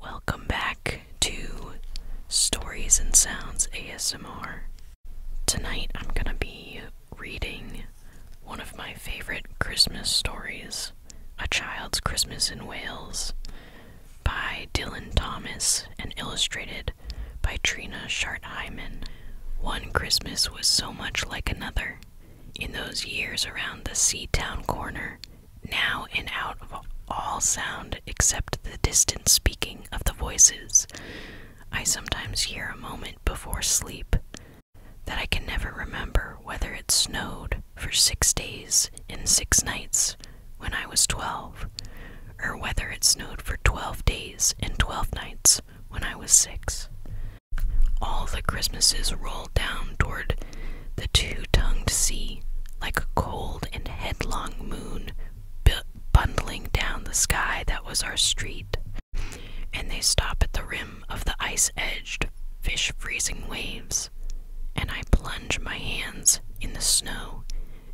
Welcome back to Stories and Sounds ASMR. Tonight I'm going to be reading one of my favorite Christmas stories, A Child's Christmas in Wales, by Dylan Thomas and illustrated by Trina Shart Hyman. One Christmas was so much like another. In those years around the Sea Town corner, now and out of all sound except the distant speaking of the voices, I sometimes hear a moment before sleep that I can never remember whether it snowed for six days and six nights when I was twelve, or whether it snowed for twelve days and twelve nights when I was six. All the Christmases rolled down toward the two tongued sea, like a cold and headlong moon, bundling down the sky that was our street. And they stop at the rim of the ice edged, fish freezing waves. And I plunge my hands in the snow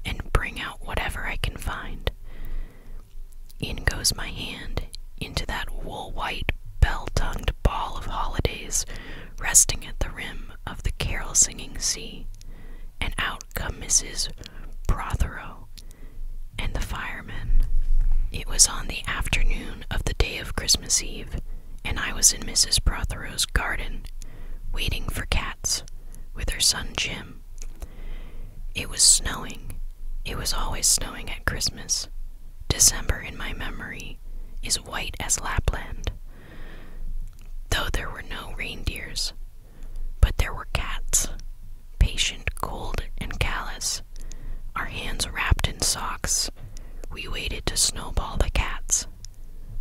and bring out whatever I can find. In goes my hand into that wool white, bell tongued ball of holidays resting at the rim of the carol singing sea, and out come Mrs. Prothero and the firemen. It was on the afternoon of the day of Christmas Eve, and I was in Mrs. Prothero's garden, waiting for cats, with her son Jim. It was snowing. It was always snowing at Christmas. December, in my memory, is white as Lapland, Though there were no reindeers, but there were cats, patient, cold, and callous. Our hands wrapped in socks, we waited to snowball the cats,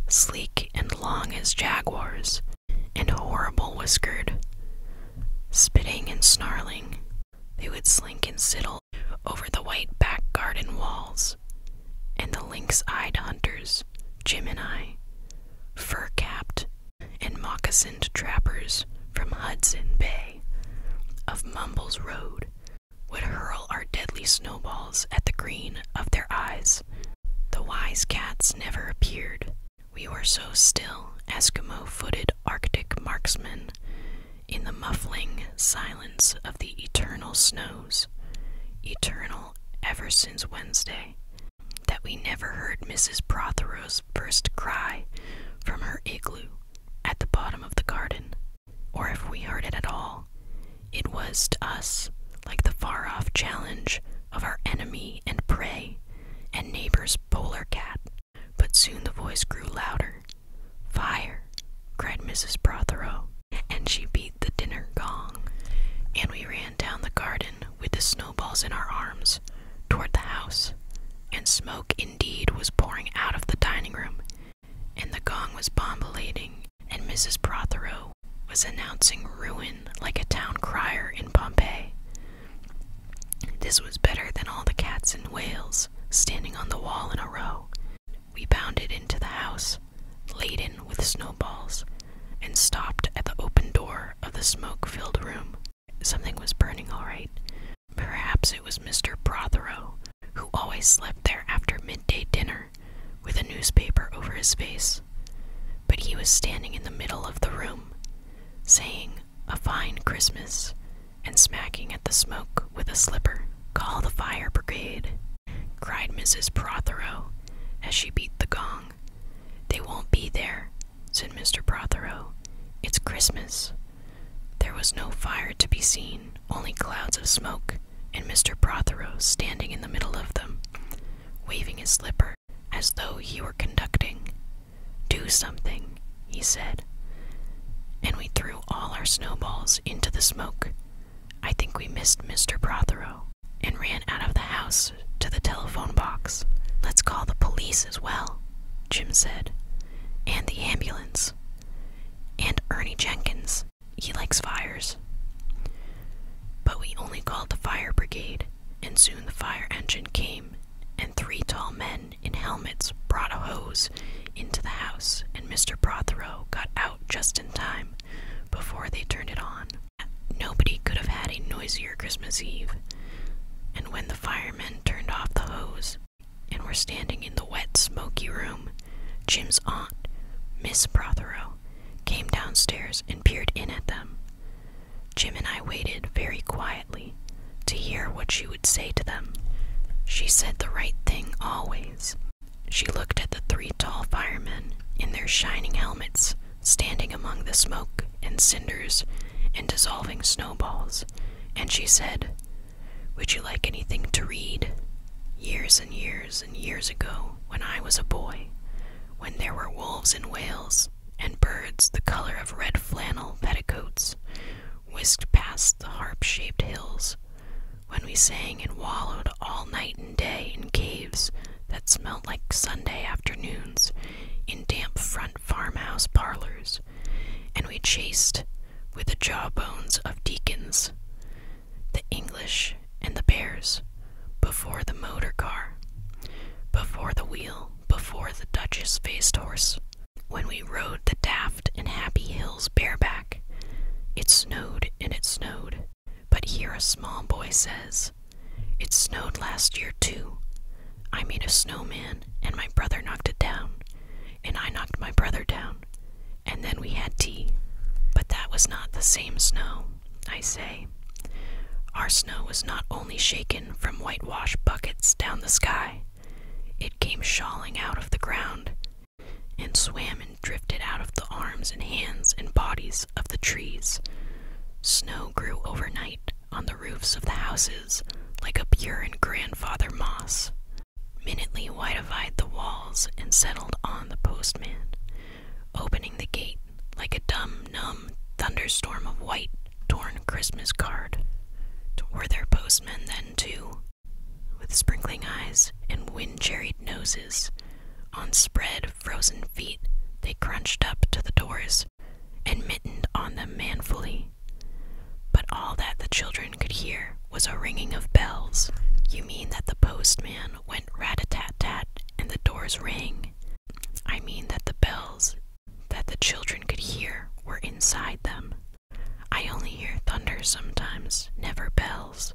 sleek and long as jaguars, and horrible whiskered. Spitting and snarling, they would slink and sidle over the white back garden walls, and the lynx eyed hunters, Gemini, fur capped and moccasined trappers from Hudson Bay of Mumbles Road would hurl our deadly snowballs at the green of their eyes. The wise cats never appeared. We were so still, Eskimo footed Arctic marksmen, in the muffling silence of the eternal snows, eternal ever since Wednesday, that we never heard Mrs. Prothero's first cry from her igloo at the bottom of the garden, or if we heard it at all, it was to us like the far off challenge of our enemy and prey and neighbor's polar cat. But soon the voice grew louder. Fire, cried Mrs. Prothero, and she beat the dinner gong, and we ran down the garden with the snowballs in our arms toward the house, and smoke indeed was pouring out of the dining room, and the gong was bombulating, and Mrs. Prothero was announcing ruin like a town crier in Pompeii. This was better than all the cats in Wales standing on the wall in a row, we bounded into the house, laden with snowballs, and stopped at the open door of the smoke filled room. Something was burning all right. Perhaps it was Mr. Prothero, who always slept there after midday dinner, with a newspaper over his face. But he was standing in the middle of the room, saying, A fine Christmas, and smacking at the smoke with a slipper. Call the fire brigade, cried Mrs. Prothero, as she beat the gong. They won't be there, said Mr. Prothero. It's Christmas. There was no fire to be seen, only clouds of smoke, and Mr. Prothero standing in the middle of them, waving his slipper as though he were conducting. Do something, he said. And we threw all our snowballs into the smoke. I think we missed Mr. Prothero and ran out of the house to the telephone box. Let's call the police as well, Jim said, and the ambulance, and Ernie Jenkins. He likes fires. But we only called the fire brigade, and soon the fire engine came, and three tall men in helmets brought a hose into the house, and Mr. Prothero got out just in time before they turned it on. Nobody could have had a noisier Christmas Eve. And when the firemen turned off the hose and were standing in the wet, smoky room, Jim's aunt, Miss Prothero, came downstairs and peered in at them. Jim and I waited very quietly to hear what she would say to them. She said the right thing always. She looked at the three tall firemen in their shining helmets standing among the smoke and cinders and dissolving snowballs, and she said, Would you like anything to read? Years and years and years ago, when I was a boy, when there were wolves in Wales, and birds the color of red flannel petticoats whisked past the harp shaped hills, when we sang and wallowed all night and day in caves that smelt like Sunday afternoons, in damp front farmhouse parlors, and we chased with the jawbones of deacons the English and the bears before the motor car, before the wheel, before the Duchess faced horse. When we rode the daft and Happy Hills bareback, it snowed and it snowed. But here a small boy says, It snowed last year too. I made a snowman, and my brother knocked it down, and I knocked my brother down, and then we had tea. But that was not the same snow, I say. Our snow was not only shaken from whitewash buckets down the sky, it came shawling out of the ground and swam drifted out of the arms and hands and bodies of the trees. Snow grew overnight on the roofs of the houses like a pure and grandfather moss. Minutely whitified the walls and settled on the postman, opening the gate like a dumb, numb thunderstorm of white, torn Christmas card. Were there postmen then, too? With sprinkling eyes and wind cherried noses, on spread frozen feet they crunched up to the doors and mittened on them manfully. But all that the children could hear was a ringing of bells. You mean that the postman went rat a tat tat and the doors ring? I mean that the bells that the children could hear were inside them. I only hear thunder sometimes, never bells.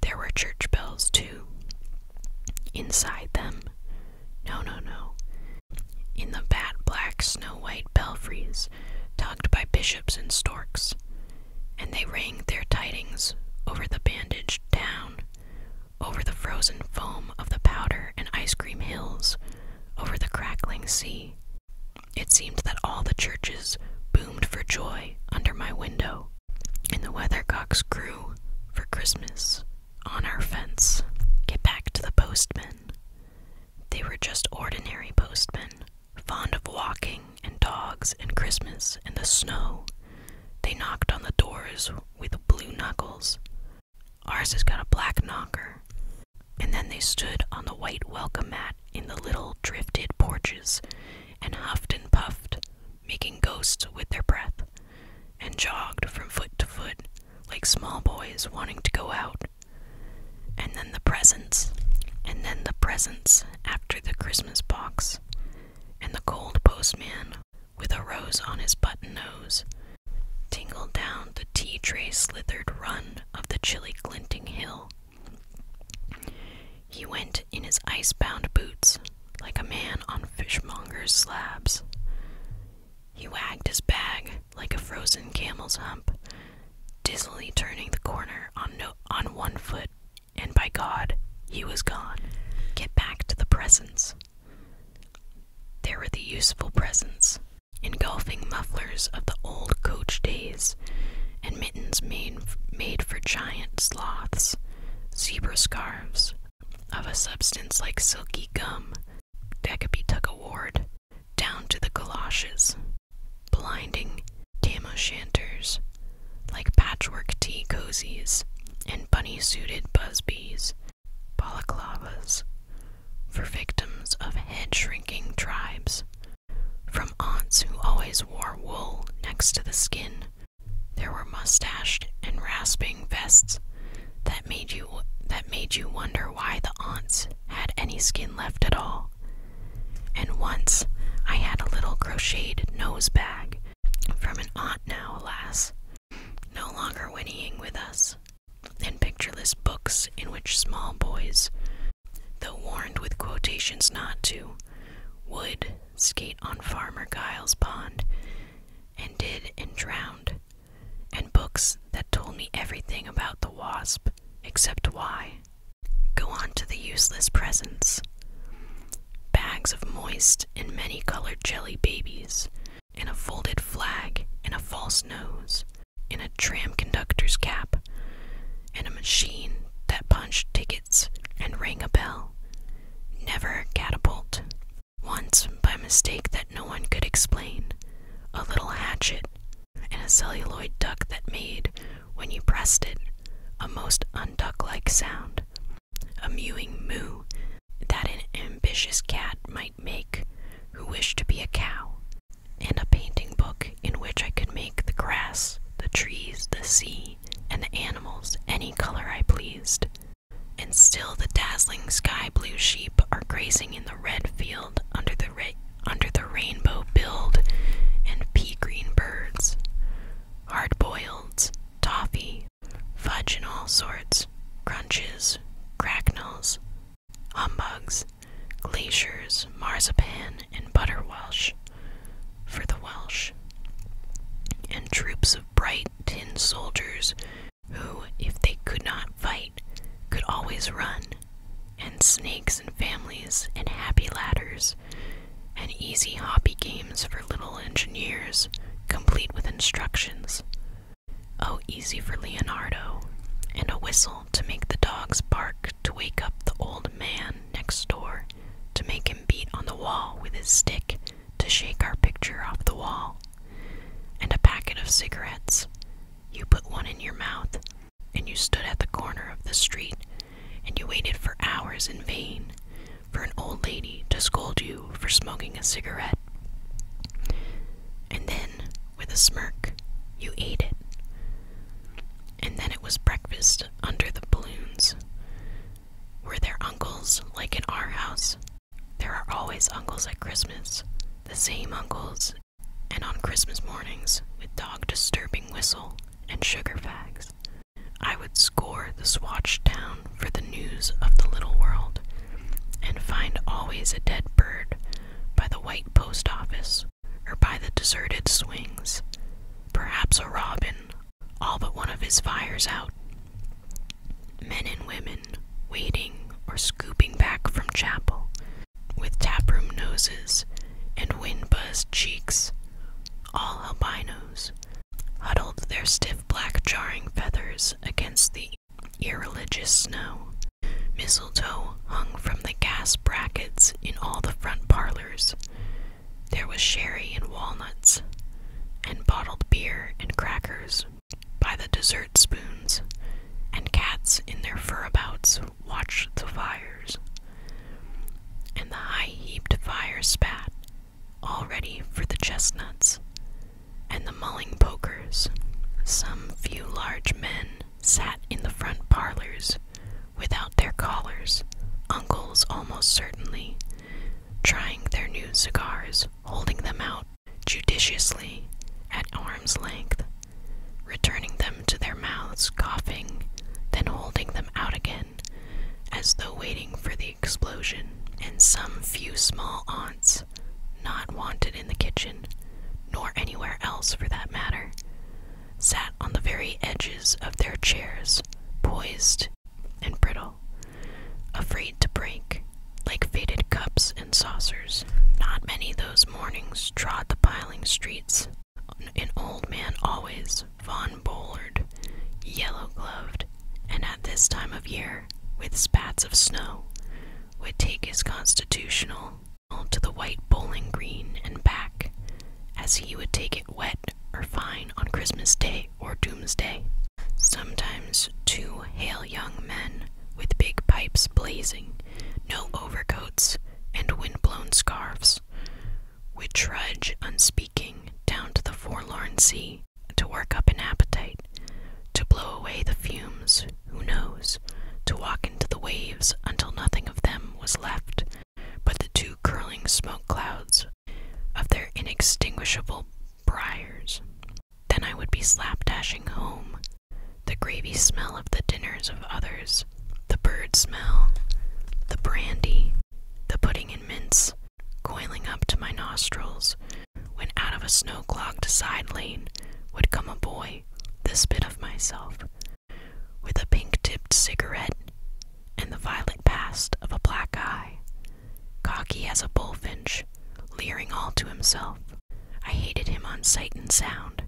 There were church bells, too. Inside them? No, no, no. In the bat black, snow white belfries, tugged by bishops and storks. And they rang their tidings over the bandaged town, over the frozen foam of the powder and ice cream hills, over the crackling sea. It seemed that all the churches boomed for joy under my window and the weathercocks crew for Christmas on our fence. Get back to the postmen. They were just ordinary postmen, fond of walking and dogs and Christmas and the snow. They knocked on the doors with blue knuckles. Ours has got a black knocker. And then they stood on the white welcome mat in the little drifted porches and huffed and puffed, making ghosts with their breath, and jogged from foot to foot like small boys wanting to go out. And then the presents, and then the presents after the Christmas box, and the cold postman with a rose on his button nose tingle down the tea tray slithered run of the chilly glinting hill. He went in his ice-bound boots, like a man on fishmonger's slabs. He wagged his bag like a frozen camel's hump, dizzily turning the corner on on one foot, and by God, he was gone. Get back to the presents. There were the useful presents, engulfing mufflers of the old coach days, and mittens made made for giant sloths, zebra scarves of a substance like silky gum that could be Decapituck award down to the galoshes, blinding tam o' shanters like patchwork tea cozies and bunny suited busbies, balaclavas for victims of head shrinking tribes, from aunts who always wore wool next to the skin there were mustached and rasping vests that made you that made you wonder why the aunts had any skin left at all. And once I had a little crocheted nose bag from an aunt now, alas, no longer whinnying with us, in pictureless books in which small boys, though warned with quotations not to, would skate on Farmer Giles Pond, and did and drowned, and books that told me everything about the wasp except why. Go on to the useless presents. Bags of moist and many colored jelly babies, and a folded flag, and a false nose, and a tram conductor's cap, and a machine that punched tickets and rang a bell, Never a catapult. Once, by mistake that no one could explain, a little hatchet and a celluloid duck that made, when you pressed it, a most unduck like sound, a mewing moo that an ambitious cat might make who wished to be a cow, and a painting book in which I could make the grass, the trees, the sea, and the animals any color I pleased. And still the dazzling sky blue sheep are grazing in the red field under the, under the rainbow build, and pea green birds, hard boiled, toffee, fudge in all sorts, crunches, cracknels, humbugs, glaciers, marzipan, and butterwelsh for the Welsh, and troops of bright tin soldiers who, if they could not fight, could always run, and snakes and families and happy ladders, and easy hobby games for little engineers, complete with instructions. Oh, easy for Leonardo, and a whistle to make the dogs bark to wake up the old man next door, to make him beat on the wall with his stick, to shake our picture off the wall, and a packet of cigarettes. You put one in your mouth, and you stood at the corner of the street, and you waited for hours in vain for an old lady to scold you for smoking a cigarette. And then, with a smirk, you ate it. And then it was breakfast under the balloons. Were there uncles like in our house? There are always uncles at Christmas, the same uncles, and on Christmas mornings with dog disturbing whistle and sugar fags. I would scour the swatch town for the news of the little world, and find always a dead bird by the white post office or by the deserted swings, perhaps a robin all but one of his fires out. Men and women waiting or scooping back from chapel with taproom noses and wind buzzed cheeks, all albinos, huddled their stiff black jarring feathers against the irreligious snow. Mistletoe hung from the gas brackets in all the front parlors. There was sherry and walnuts, and bottled beer and crackers by the dessert spoons, and cats in their furabouts watched the fires. And the high heaped fire spat, all ready for the chestnuts, and the mulling pokers. Some few large men sat in the front parlors without their collars, uncles almost certainly, trying their new cigars, holding them out judiciously at arm's length, returning them to their mouths, coughing, then holding them out again, as though waiting for the explosion, and some few small aunts, not wanted in the kitchen, nor anywhere else for that matter, sat on the very edges of their chairs, poised and brittle, afraid to break, like faded cups and saucers. Not many those mornings trod the piling streets. An old man always, Von Bollard, yellow gloved, and at this time of year, with spats of snow, would take his constitutional to the white bowling green and back, as he would take it wet out or fine on Christmas Day or Doomsday. Sometimes two hale young men with big pipes blazing, no overcoats, and wind-blown scarfs, would trudge unspeaking down to the forlorn sea to work up an appetite, to blow away the fumes, who knows, to walk into the waves until nothing of them was left but the two curling smoke clouds of their inextinguishable Briers. Then I would be slapdashing home, the gravy smell of the dinners of others, the bird smell, the brandy, the pudding and mince, coiling up to my nostrils, when out of a snow clogged side lane would come a boy, this bit of myself, with a pink tipped cigarette and the violet past of a black eye cocky as a bullfinch, leering all to himself. I hated him on sight and sound,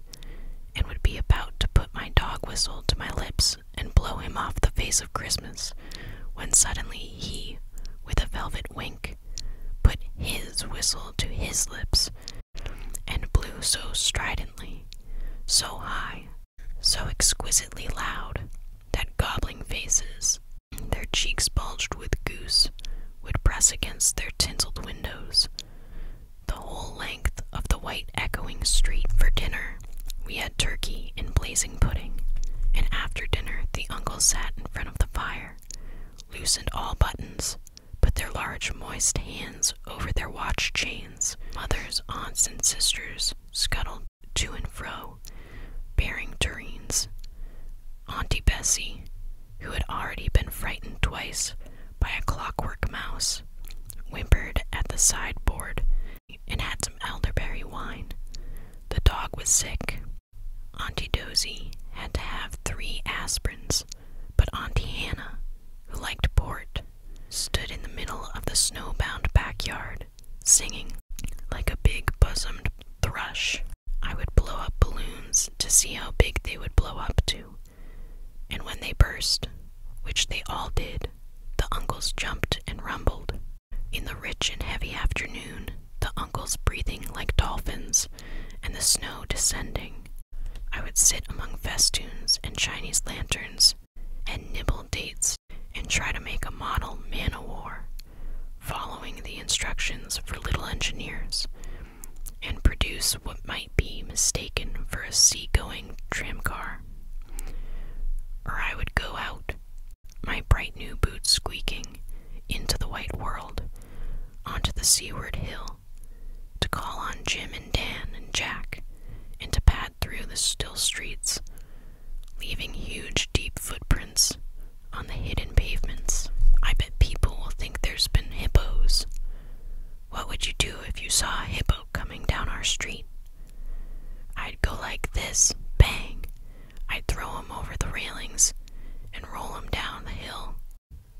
and would be about to put my dog whistle to my lips and blow him off the face of Christmas, when suddenly he, with a velvet wink, put his whistle to his lips, and blew so stridently, so high, so exquisitely loud, that gobbling faces their cheeks bulged with goose, would press against their tinselled windows. The whole length of the white echoing street for dinner. We had turkey and blazing pudding, and after dinner the uncles sat in front of the fire, loosened all buttons, put their large moist hands over their watch chains. Mothers, aunts, and sisters scuttled to and fro, bearing tureens. Auntie Bessie, who had already been frightened twice by a clockwork mouse, whimpered at the sideboard and had some elderberry wine. The dog was sick. Auntie Dozy had to have three aspirins, but Auntie Hannah, who liked port, stood in the middle of the snowbound backyard singing like a big bosomed thrush. I would blow up balloons to see how big they would blow up to. And when they burst, which they all did, the uncles jumped and rumbled. In the rich and heavy afternoon, the uncles breathing like dolphins, and the snow descending. I would sit among festoons and Chinese lanterns, and nibble dates, and try to make a model man o' war following the instructions for little engineers, and produce what might be mistaken for a sea-going tramcar. Or I would go out, my bright new boots squeaking, into the white world, onto the seaward hill, to call on Jim and Dan and Jack, and to pad through the still streets, leaving huge deep footprints on the hidden pavements. I bet people will think there's been hippos. What would you do if you saw a hippo coming down our street? I'd go like this, bang. I'd throw him over the railings and roll him down the hill.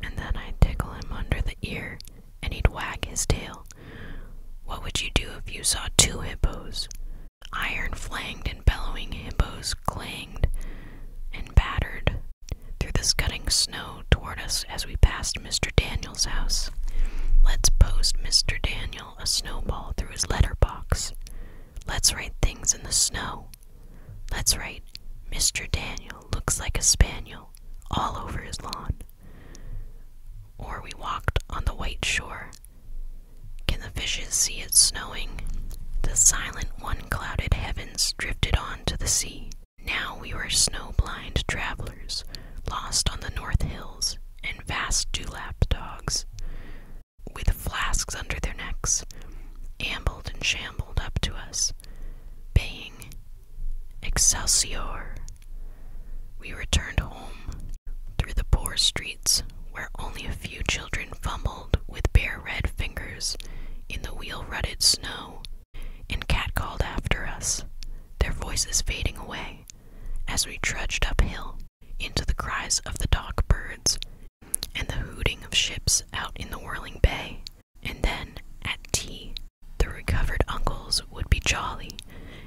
And then I'd tickle him under the ear and he'd wag his tail. What would you do if you saw two hippos? Iron flanged and bellowing hippos clanged and battered through the scudding snow toward us as we passed Mr. Daniel's house. Let's post Mr. Daniel a snowball through his letterbox. Let's write things in the snow. Let's write, Mr. Daniel looks like a spaniel all over his lawn. Or we walked on the white shore can the fishes see it snowing? The silent, one clouded heavens drifted on to the sea. Now we were snow blind travelers, lost on the north hills, and vast dewlap dogs, with flasks under their necks, ambled and shambled up to us, baying, Excelsior! We returned home through the poor streets where only a few children fumbled with bare red fingers in the wheel rutted snow, and catcalled after us, their voices fading away as we trudged uphill into the cries of the dock birds and the hooting of ships out in the whirling bay. And then, at tea, the recovered uncles would be jolly,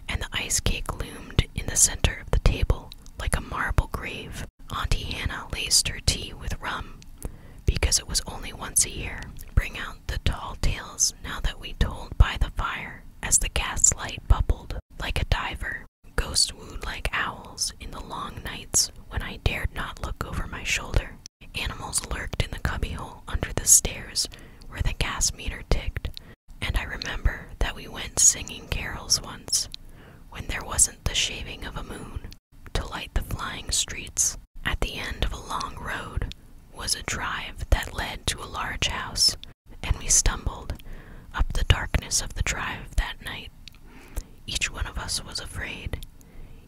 and the ice cake loomed in the center of the table like a marble grave. Auntie Hannah laced her tea with rum, because it was only once a year. Bring out the tall tales now that we told by the fire, as the gaslight bubbled like a diver. Ghosts wooed like owls in the long nights when I dared not look over my shoulder. Animals lurked in the cubbyhole under the stairs where the gas meter ticked, and I remember that we went singing carols once when there wasn't the shaving of a moon to light the flying streets. At the end of a long road was a drive that led to a large house, and we stumbled up the darkness of the drive that night. Each one of us was afraid,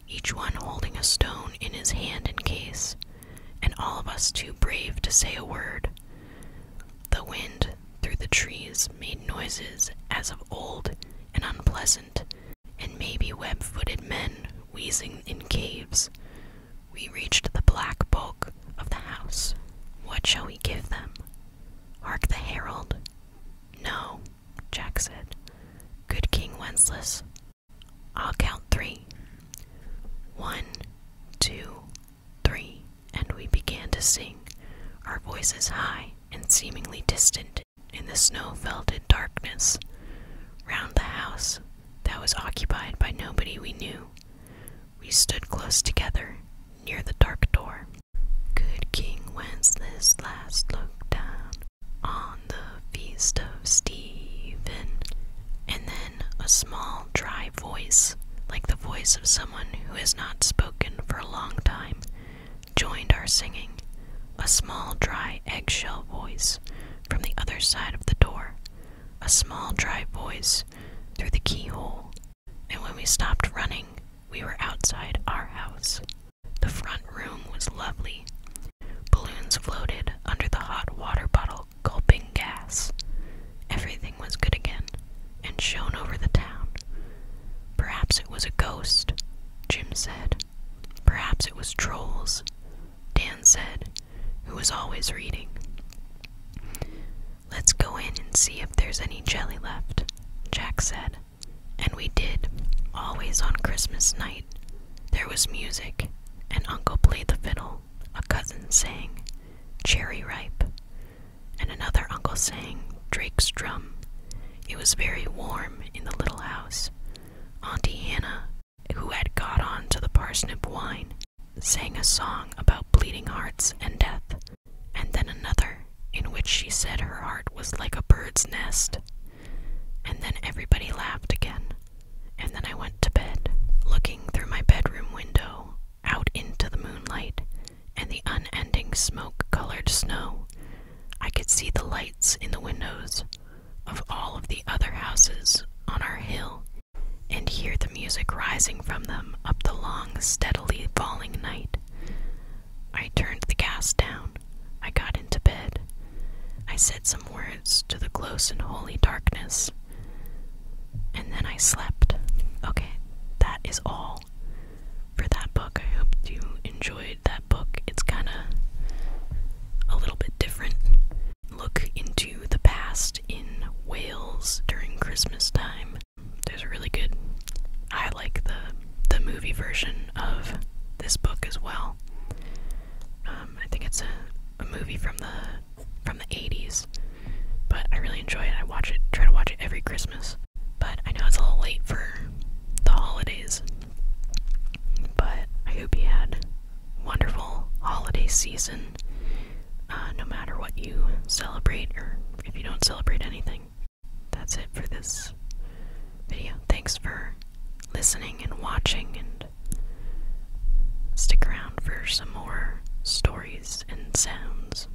each one holding a stone in his hand in case, and all of us too brave to say a word. The wind through the trees made noises as of old and unpleasant, and maybe web footed men wheezing in caves. We reached the black bulk of the house. What shall we give them? Hark the herald. No, Jack said. Good King Wenceslas. I'll count three. One, two, three and we began to sing, our voices high and seemingly distant in the snow felted darkness, round the house that was occupied by nobody we knew. We stood close together near the dark door. Good King Wenceslas looked down on the feast of Stephen, and then a small, dry voice, like the voice of someone who has not spoken for a long time, joined our singing, a small dry eggshell voice from the other side of the door, a small dry voice through the keyhole, and when we stopped running, we were outside our house. The front room was lovely. Balloons floated under the hot water bottle, gulping gas. Everything was good again and shone over the town. Perhaps it was a ghost, Jim said. Perhaps it was trolls, Dan said, who was always reading. Let's go in and see if there's any jelly left, Jack said. And we did, always on Christmas night. There was music, and Uncle played the fiddle, a cousin sang, Cherry Ripe, and another uncle sang Drake's Drum. It was very warm in the little house. Auntie Hannah, who had got on to the parsnip wine, sang a song about bleeding hearts and death, and then another in which she said her heart was like a bird's nest. And then everybody laughed again. And then I went to bed, looking through my bedroom window out into the moonlight and the unending smoke colored snow, I could see the lights in the windows of all of the other houses on our hill and hear the music rising from them up the long, steadily falling night. I turned the gas down. I got into bed. I said some words to the close and holy darkness. And then I slept. Okay, that is all for that book. I hope you enjoyed that book. It's kind of a little bit different. Look into the past in Wales during Christmas time. There's a really good. I like the the movie version of this book as well. Um, I think it's a movie from the from the 80s, but I really enjoy it. I watch it, try to watch it every Christmas. But I know it's a little late for the holidays. But I hope you had wonderful holiday season, uh, no matter what you celebrate or if you don't celebrate anything. That's it for this video. Thanks for listening and watching, and stick around for some more stories and sounds.